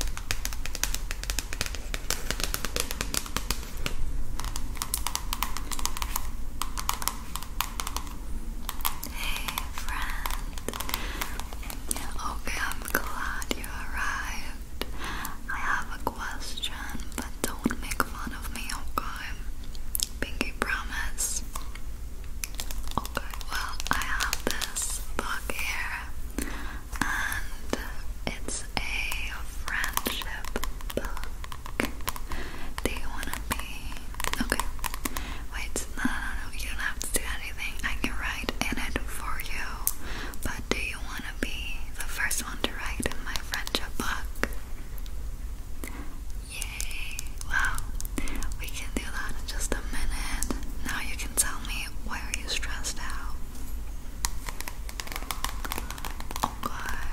Hey friend. Okay, I'm glad you arrived. I have a question, but don't make fun of me, okay? Pinky promise. Okay, well I have this book here and it's a friendship book. Do you want to be? Okay. Wait, no, no, you don't have to do anything. I can write in it for you. But do you want to be the first one to write in my friendship book? Yay! Wow. We can do that in just a minute. Now you can tell me. What why are you stressed out? Okay.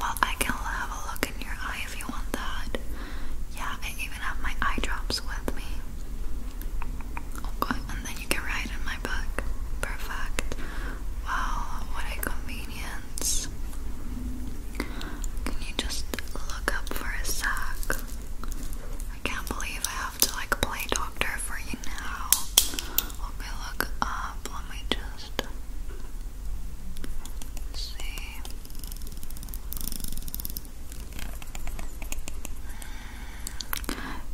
Well, I can have a look in your eye if you want that. Yeah, I even have my eye drops with me. Okay, and then you can write in my book. Perfect. Wow, what a convenience. Can you just look up for a sec? I can't believe I have to like play doctor for you now. Let me look up. Let me just see.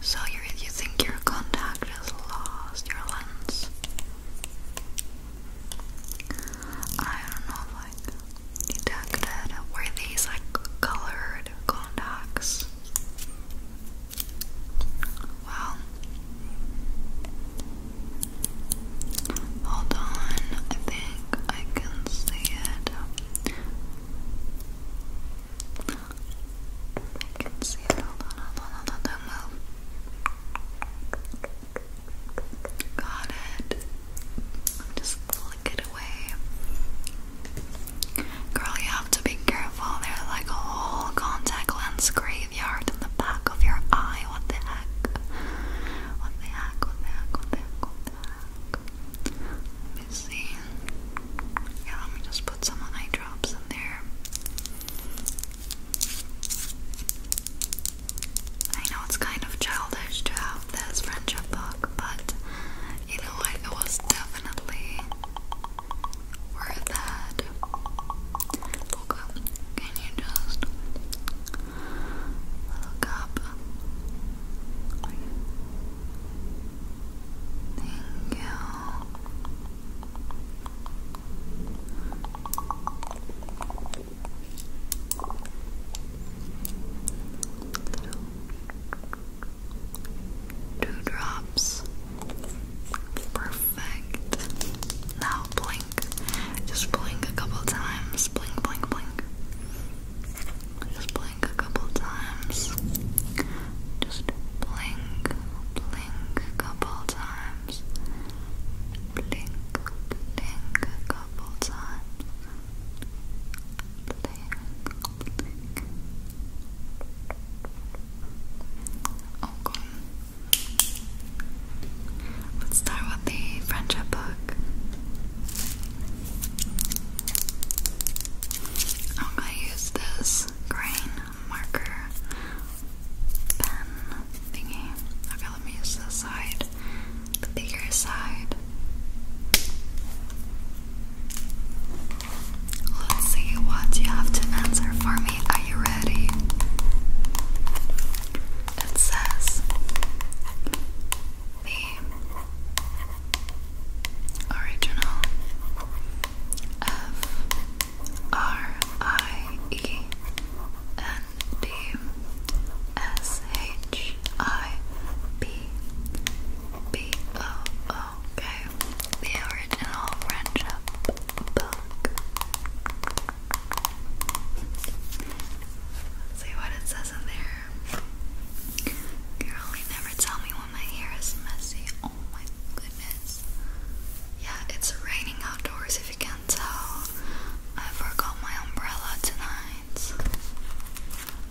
So you you think your contact is lost? Your lens? I don't know. Like detected. Were these like color word Goldocks. Hold on, I think I can see it. I can see it. Hold on, hold on, hold on, don't Got it. just Girl, you have to be careful. They're like a whole contact lens graveyard in the back of your eye. What the heck? What the heck? What the heck? What the heck? Let me see. Yeah, let me just put some eye drops in there. I know it's kind of childish to have this friendship book, but you know what? It was definitely worth it. Look Can you just look up? Thank you little dewdrops. Perfect. Now blink. Just blink a couple times. Blink, blink, blink. Just blink a couple times. Just blink, blink a couple times. Blink, blink a couple times. Okay. Oh, Let's start with the friendship book. I'm gonna use this green marker pen thingy. Okay, let me use this side the bigger side. Let's see what you have to answer for me. Are you ready? It says the original F R I E N D S H I B B O O K, the original French book. see what it says in there. Girl, you never tell me when my hair is messy. Oh my goodness. Yeah, it's raining outdoors if you can't tell. I forgot my umbrella tonight. Okay,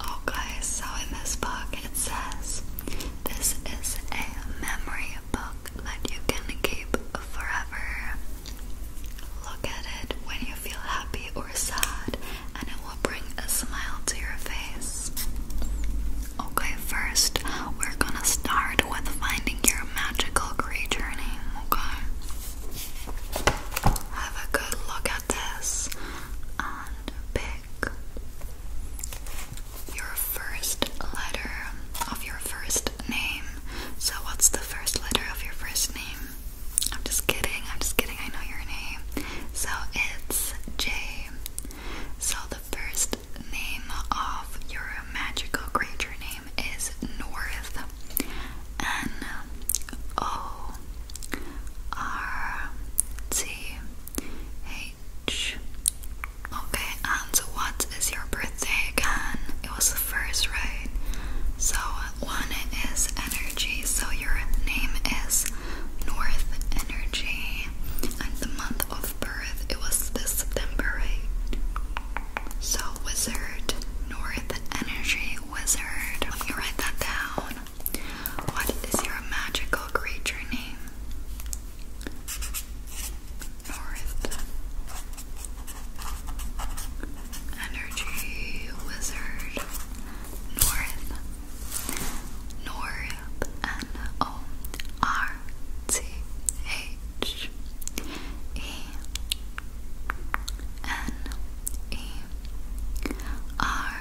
oh, so in this book it says this is a memory book that you can keep forever. Look at it when you feel happy or sad, and it will bring a smile to your face. Okay, first we're gonna start with finding your magical creature name, okay? Have a good look and pick your first letter of your first name. So, what's the first letter of your first name? I'm just kidding, I'm just kidding, I know your name. So, it's J. So, the first name of your magical creature name is North. N O R T H. Okay, and what is your birthday again? It was the first, right? So, one is energy, so your name is North Energy, and the month of birth it was this September, right? So, Wizard North Energy wizard. Let me write that down. What is your magical creature name? North. Energy wizard. North. North. N O R T H. E N E R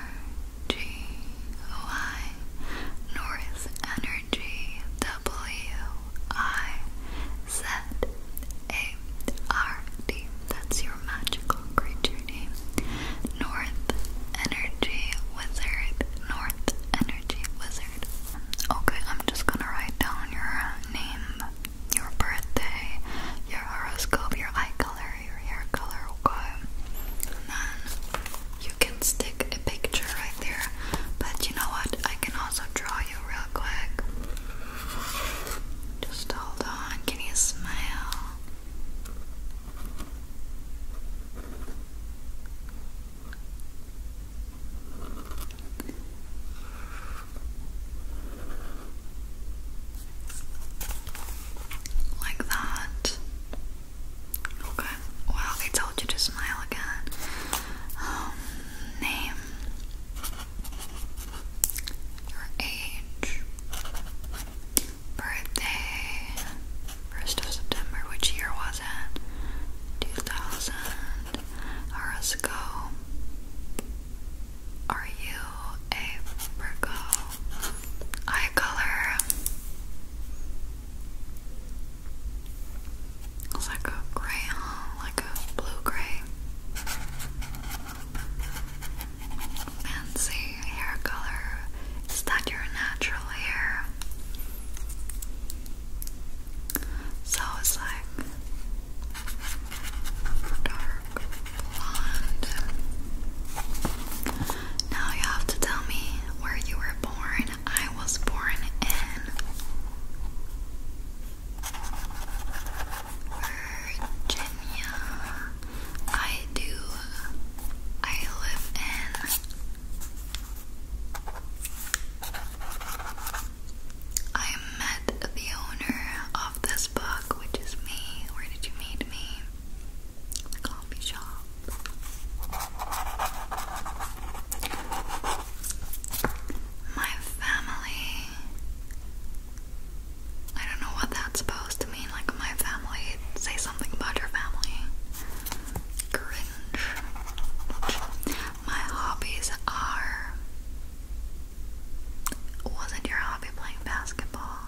G Y North Energy W I Z A R D. That's your magical creature name. North Energy Wizard. North Energy Wizard. Okay, I'm just gonna write down your name your birthday, your horoscope, your eye color, your hair color, okay? then you can stick a picture right there. But you know what? I can also draw you real quick. Just hold on. Can you smile? Like that. Okay. Well, they told you to smile again. Um, name. Your age. Birthday. First of September. Which year was it? 2000. Horoscope. Are you a Virgo? Eye color. It's like a gray, huh? Like a blue gray. Fancy hair color. Is that your natural hair? So it's dark blonde. Now you have to tell me where you were born. I was born in Virginia. I do. I live in. I met the owner of this book, which is me. Where did you meet me? coffee shop. My family. I don't know what that's supposed to mean. Like, my family. Say something about your family. Cringe. My hobbies are wasn't your hobby playing basketball?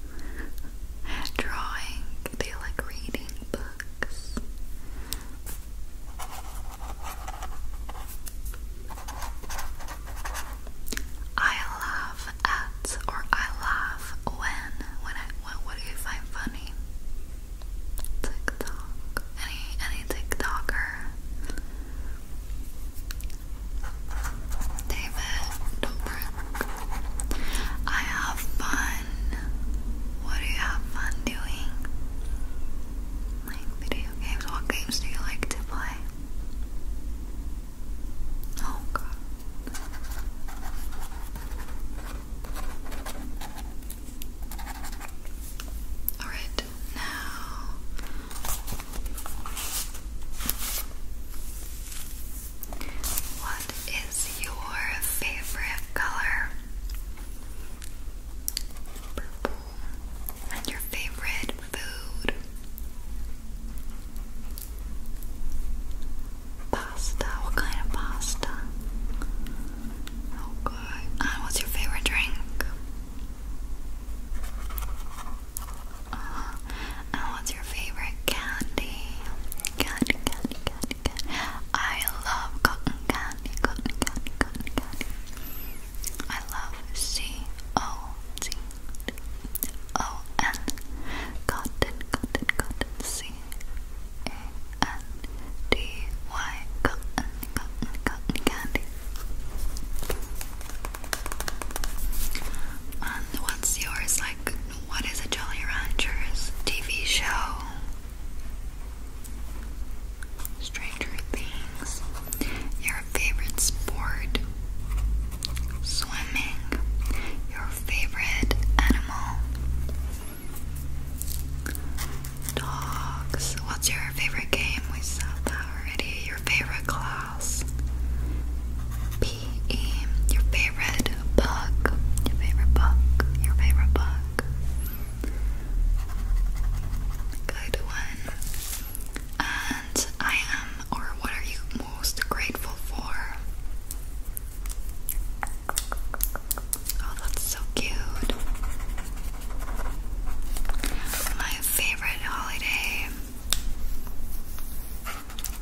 Drawing? Do you like reading books? I laugh at or I laugh when when I what do you find funny? TikTok any any TikToker. David Dobrik. I have fun. What do you have fun doing? Like video games. What games do you like to play? Oh god. All right, now what is your favorite color? Purple. And your favorite food? Pasta. What kind of pasta? And oh, uh, what's your favorite drink? Uh-huh. And what's your favorite candy? Candy, candy, candy, candy. I love cotton candy, cotton candy, cotton candy. I love C O T O N cotton, cotton, cotton, C A N D-Y candy and what's yours, like, what is a Jolly Ranchers TV show? Stranger Things Your favorite sport? Swimming Your favorite animal? Dogs. What's your favorite game? We said that already. Your favorite class? PE. Your favorite book? Your favorite book? Your favorite book? Good one. And I am, or what are you most grateful for? Oh, that's so cute. My favorite holiday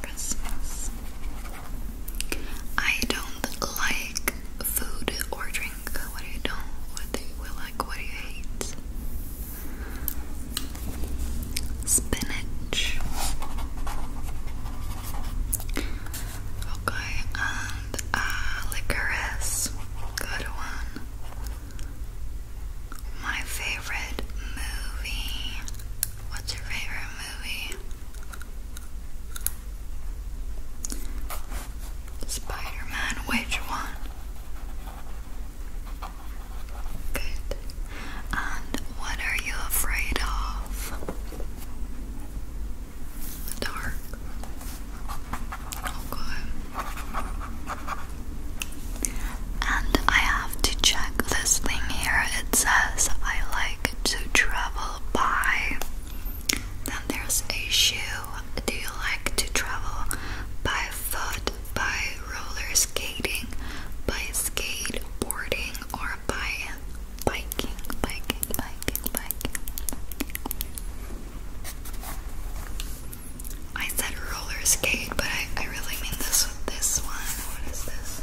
Christmas. I don't like food or drink. What do you don't? What do you like? What do you hate? Spinach. Okay, um, and uh, licorice. Good one. My favorite movie. What's your favorite movie? Spider which one? Good. And what are you afraid of? dark. Okay. Oh, and I have to check this thing here. It says I like to travel by. Then there's a shoe. Do you like to travel by foot, by roller skating, by skateboarding, or by biking, biking, biking, biking. I said roller but I, I really mean this this one. What is this?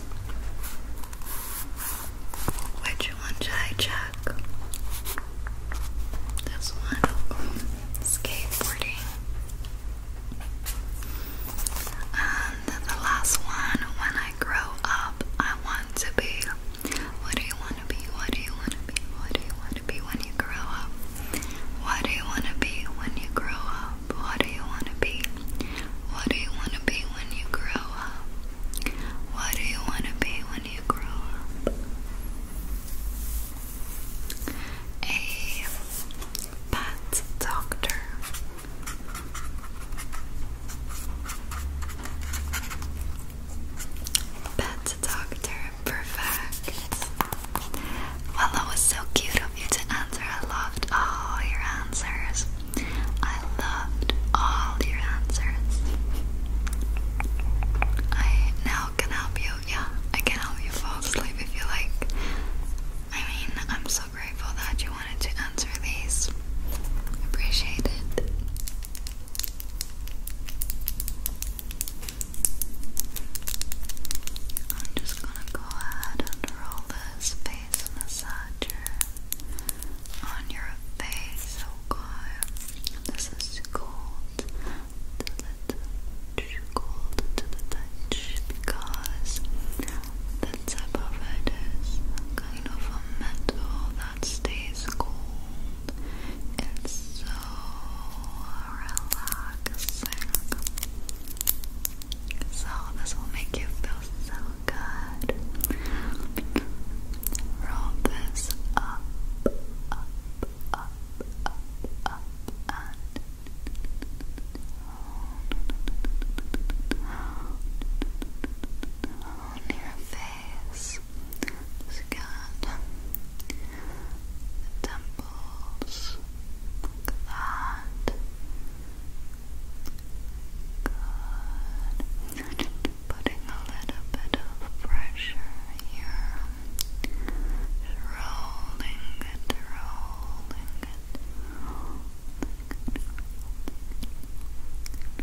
Which one should I check? This one. skateboarding. And the last one, when I grow up, I want to be what do you want to be? What do you want to be? What do you want to be when you grow up? What do you want to be when you grow up? What do you want to be? What do you want to be when you grow up? What do you want to be when you grow up? A pet doctor. Pet Doctor Perfect. Well, that was so cute of you to answer. I loved all your answers. I loved all your answers. I now can help you. Yeah, I can help you fall asleep if you like. I mean, I'm so grateful that you wanted to answer these. Appreciate it. I'm just gonna go ahead and roll this face massager on your face, okay? This is cold to the touch, cold to the touch because the tip of it is kind of a metal stays cold. It's so relaxing. So, this will make you feel so good. Roll this up, up, up, up, up, and on your face, skin, temples, like Good. you just putting a little bit of pressure here. Just rolling it. Rolling it.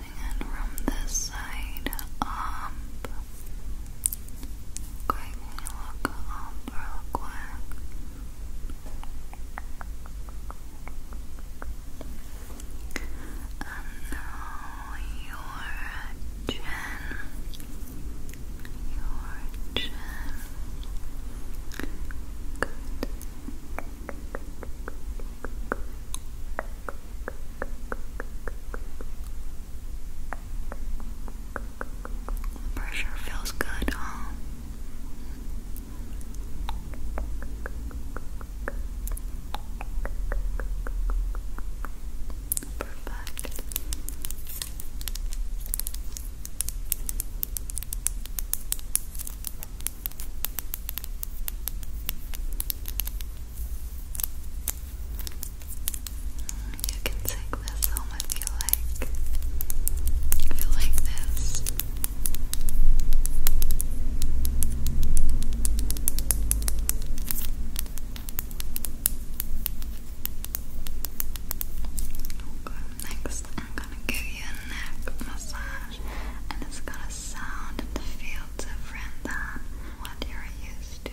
and from this side up. Okay, you look up real quick? And now your chin, your chin. Good. Good. The pressure feels good, Perfect. Good. You can take this home if you like. If you like this. Okay, next I'm gonna give you a neck massage and it's gonna sound and the feel different than what you're used to,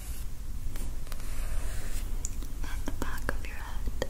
and the back of your head. Good.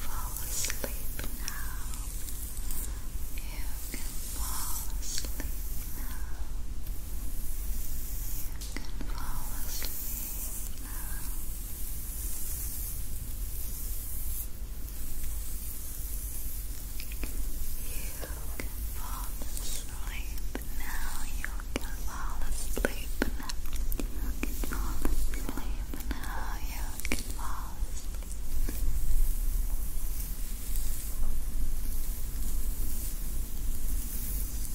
fall asleep now. You can fall asleep now can fall asleep now. You can fall asleep now. You can fall asleep now. You can fall asleep now. You can fall asleep. You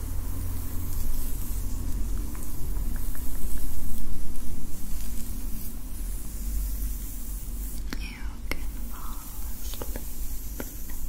You can fall asleep you, you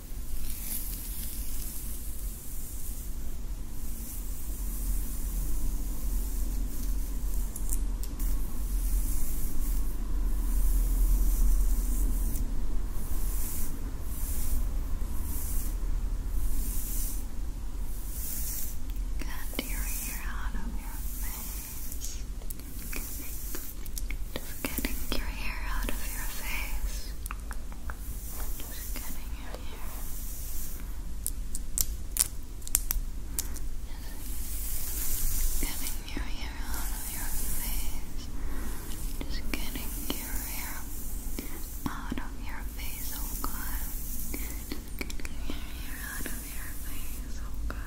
Cut your hair out of your face. Just getting your hair out of your face. Just getting your hair. Just getting your hair out of your face. Just getting your hair out of your face, oh god. Just getting your hair out of your face, oh god.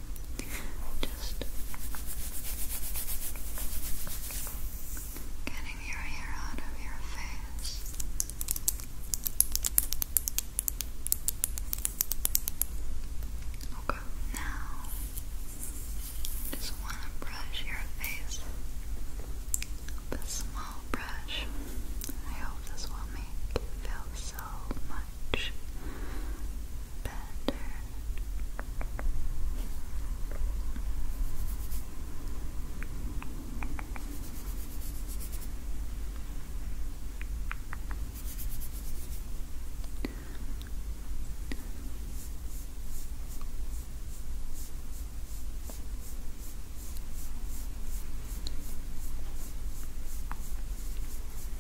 Just getting your hair out of your face. Okay, now just want to brush your face a small brush. I hope this will make you feel so much pattern. Good.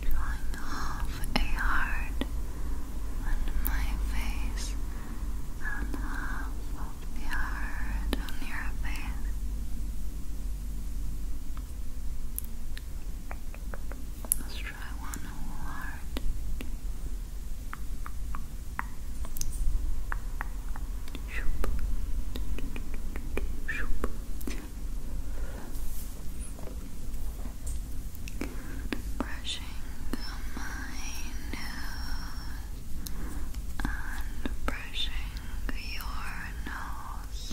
Drawing off a heart on my face and half of heart on your face. I want whole heart. Brushing my nose and brushing your nose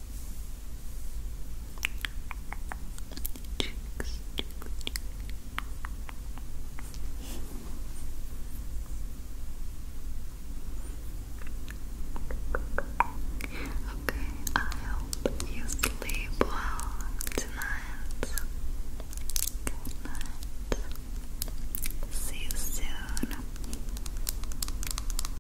Cheeks, Okay, I hope you sleep well tonight. Good night. See you soon.